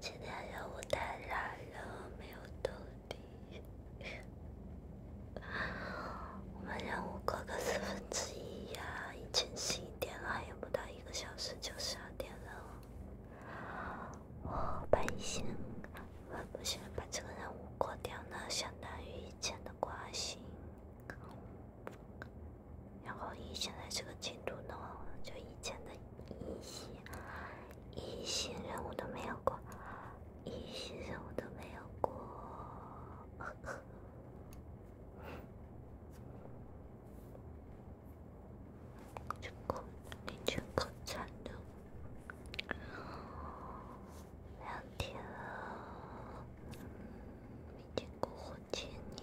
今天任务太难了，没有动力。我们任务过个四分之一呀，十一点了，不到一个小时就十二点了。我不把这个任务过掉，呢，相当于以前的挂心。然后以现在这个进度的话，就以前的一些一些任务都没有过，一些任务都没有过，你这惨两天了，没见过火箭，你。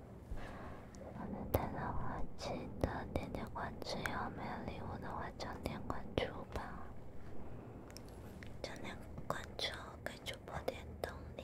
点赞的话记得点点关注，没有礼物的话点点关注吧，点点关注给主播点动力。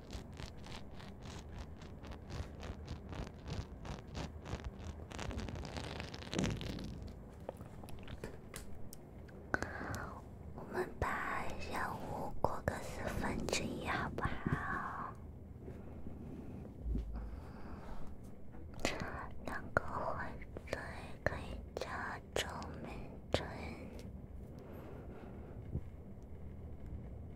我们把任务过个四分之一，好不好？两个黄色可以加照明灯。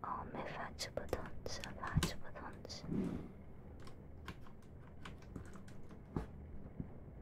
哦，没法子不同吃，没法子不同吃。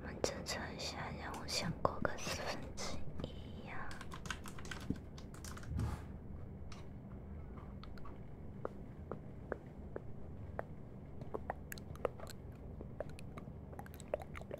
我们正常一下，任务先过个四分之一呀。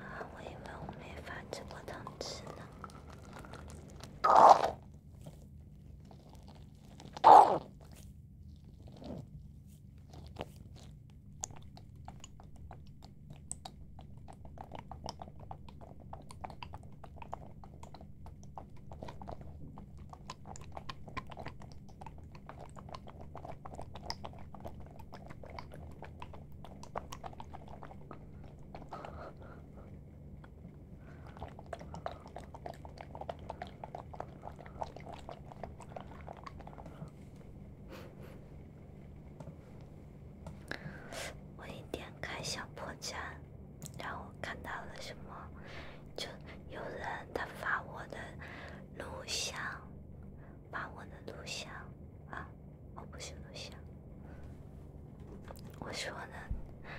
啊，我以为我没发这波糖吃呢。我一点开小破站，然后我看到了什么？就有人他发我的录像。把我的录像啊，我不是录像，我说呢，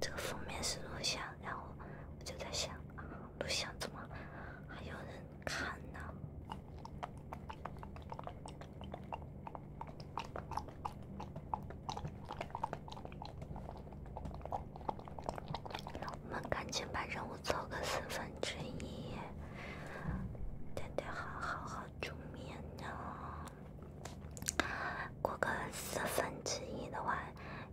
这个封面是录像，然后我就在想，录像怎么还有人看呢？我们赶紧把任务做个四分。分之一，得得好好好助眠呢。过个四分之一的话，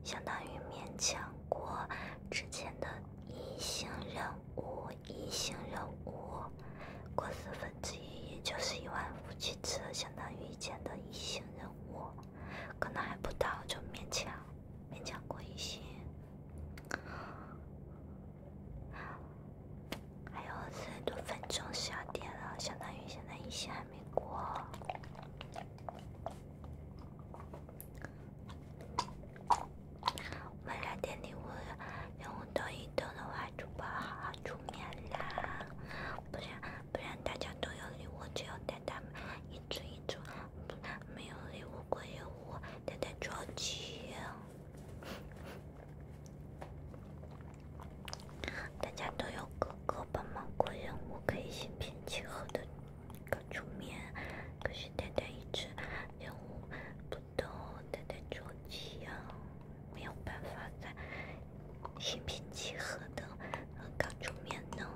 相当于勉强过之前的一星任务。一星任务过四分之一，也就是一万五千次，相当于以前的一星任务，可能还不到就勉强勉强过一些。还有四十多分钟十二点了，相当于现在一线还没过。我们来点礼物，礼物都一动的话主播好好出面啦，不然不然大家都有礼物，只有带他们一组一组。没有礼物过任务，丹丹着急。大家都有哥哥帮忙过任务，可以心平气和的搞出面。可是丹丹一直任务不懂，丹丹着急呀，没有办法在心平气和的刚出面呢。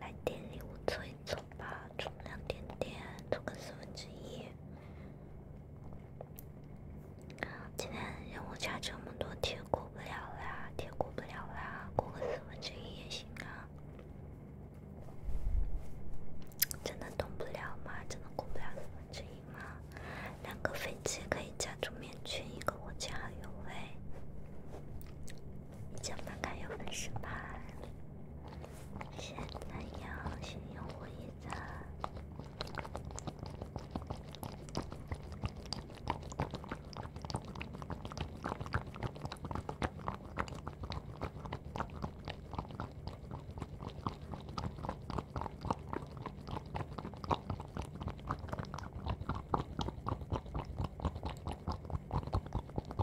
来点礼物凑一凑吧，凑两点点，凑个四分之一。今天任务加这么多，天过不了啦，天过不了啦，过个四分之一也行啊。真的动不了吗？真的过不了四分之一吗？两个飞机可以加住面群，一个我加油有你叫马凯，有粉丝牌，现在要新用户一赞。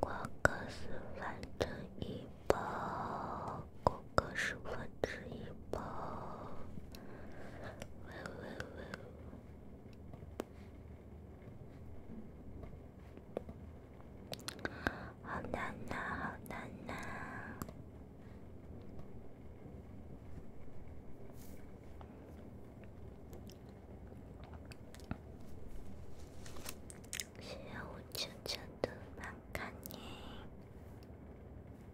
瓜格斯，反正一包。可是我之一吧，好难呐，好难呐，需要我悄悄的帮看你？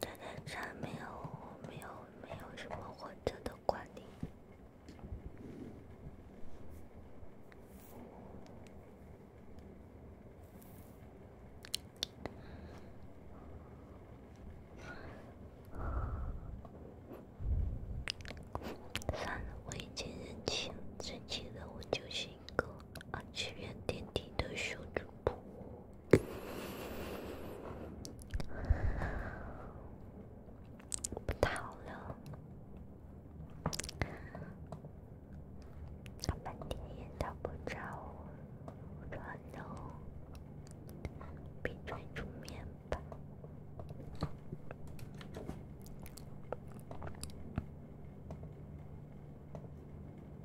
咱家没有没有没有什么活着的管理。算了，我已经认清，认清了我就是一个二次元电梯的修主播。不太了，看半天也找不着，穿喽，被拽出面吧。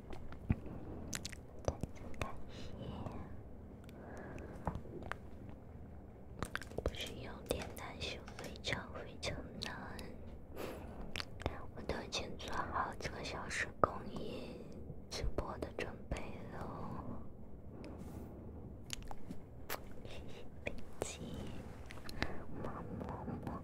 真的感谢，不是有点难修，非常非常难。我都已经做好几个小时公益直播的准备了，别急，么么么。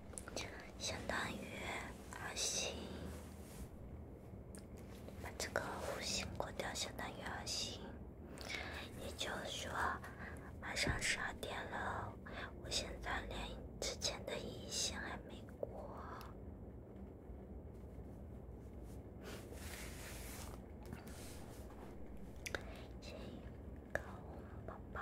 相当于二星，把这个五星过掉，相当于二星。也就是说，马上十二点了，我现在连之前的一线还没过。辛苦宝宝。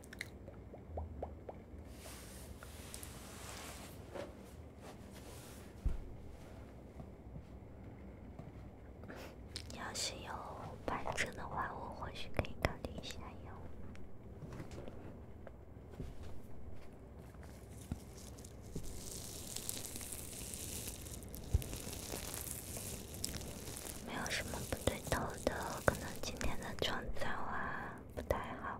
要是有板证的话，我或许可以考虑一下用。没有什么不对头的，可能今天的妆造啊不太好。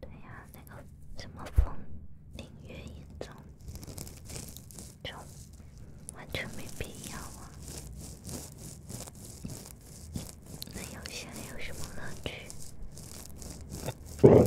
对呀，那个什么封领域一种，就完全没必要啊！那游戏还有什么乐趣？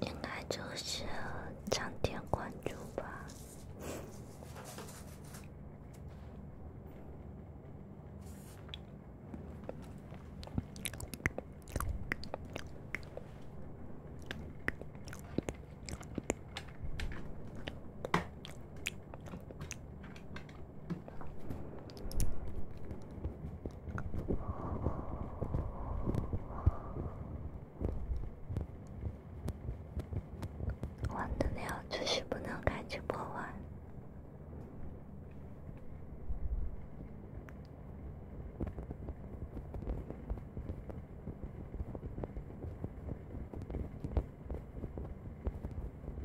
应该就是长点关注吧。玩的了，就是不能开直播玩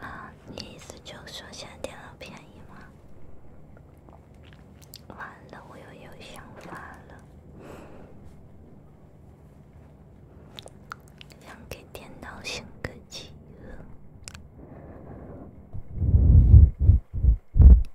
啊，你意思就说现在电脑便宜吗？完了，我又有想法了，想给电脑寻个妻了。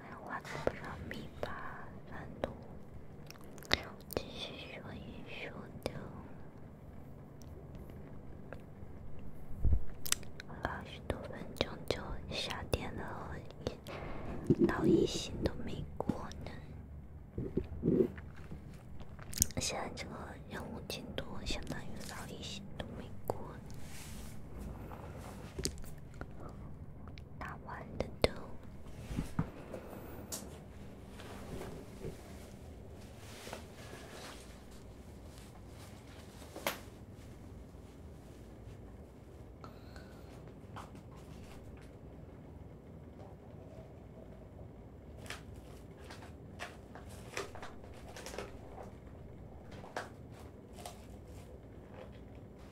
还画了不少米吧，难度。继续说，一说的，二十多分钟就下电了，到一星都没过呢。现在这个任务进度相当于老一星都没过。打完的都。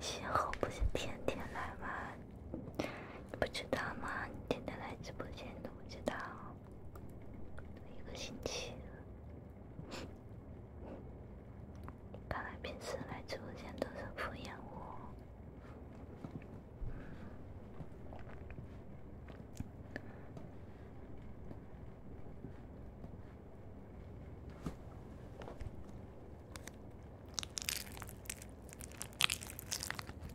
幸好不是天天来嘛，不知道吗？天天来直播间，你都不知道。一个星期了，看来平时来直播间都是敷衍我。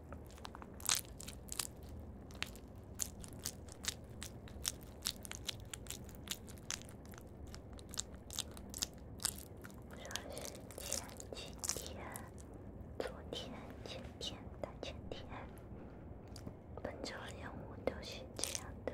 说是前几天、昨天、前天、大前天，本周任务都是这样的。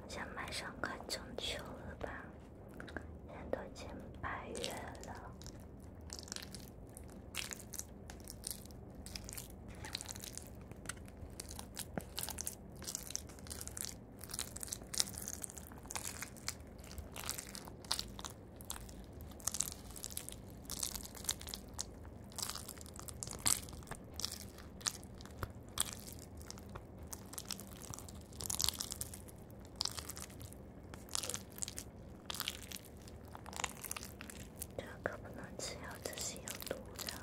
好像马上快中秋了吧，现在都进八月了。这可不能吃药，这是有毒的。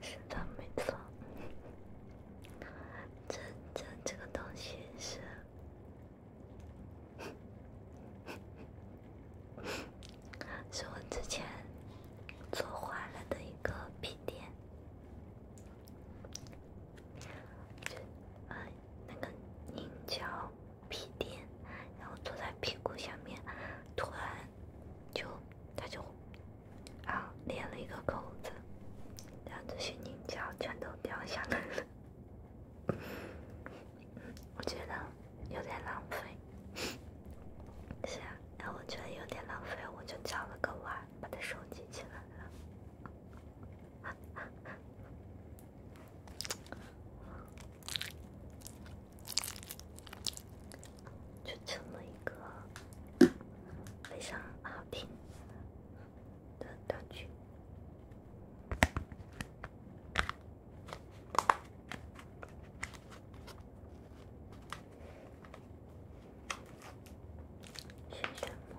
是的，没错。这这这个东西是，是我之前做坏了的一个笔垫，就啊那个凝胶。屁垫，然后坐在屁股下面，突然就他就啊裂了一个口子，两只些凝胶全都掉下来了。我觉得有点浪费，是啊，然后我觉得有点浪费，我就叫了个碗把它收集起来了。就成了一个非常好听的道具。是什么？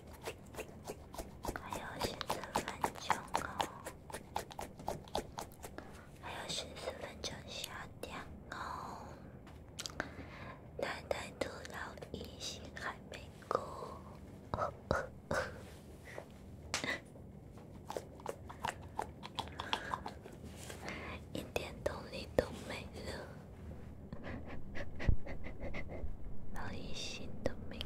还有十四分钟哦，还有十四分钟下掉哦。奶奶兔老一心还没过，一点动力都没了，老一心都没。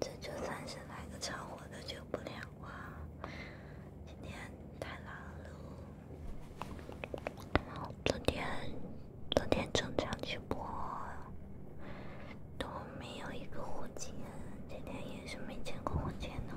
这就三十来个超火的，救不了啊！今天太难了。昨天昨天正常直播都没有一个火箭，今天也是没见过火箭哦。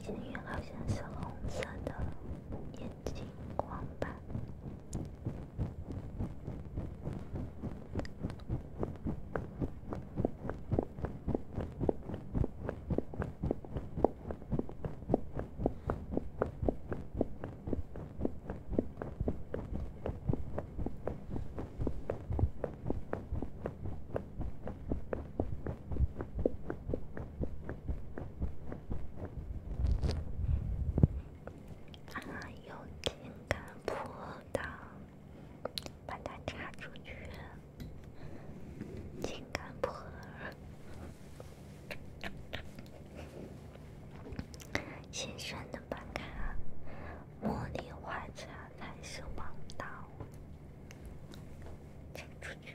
边缘好像是红色的眼睛光吧。啊，有情感破的，把它插出去。情感破，先删的吧，看啊，茉莉花茶才是王道，请出去。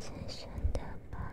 深深的吧。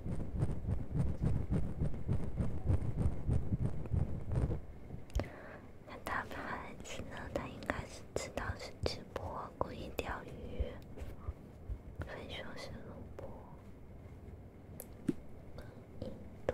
那他孩子呢？他应该是知道是直播故意钓鱼，非说是录播，故意的。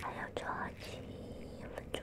还要有七分钟。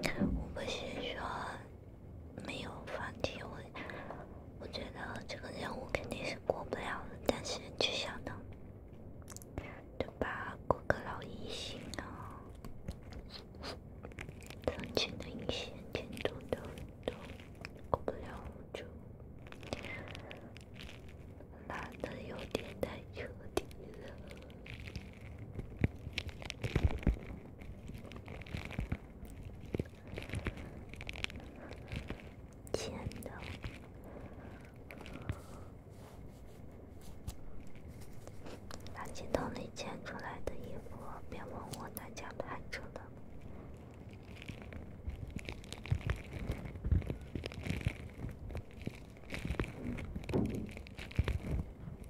我不是说没有放弃，我我觉得这个任务肯定是过不了了。但是就想到，对吧？过个老一星啊，曾经的一些金盾等都过不了就拉的有点太彻底了。捡的，垃圾桶里捡出来的衣服，别问我哪家拍着的。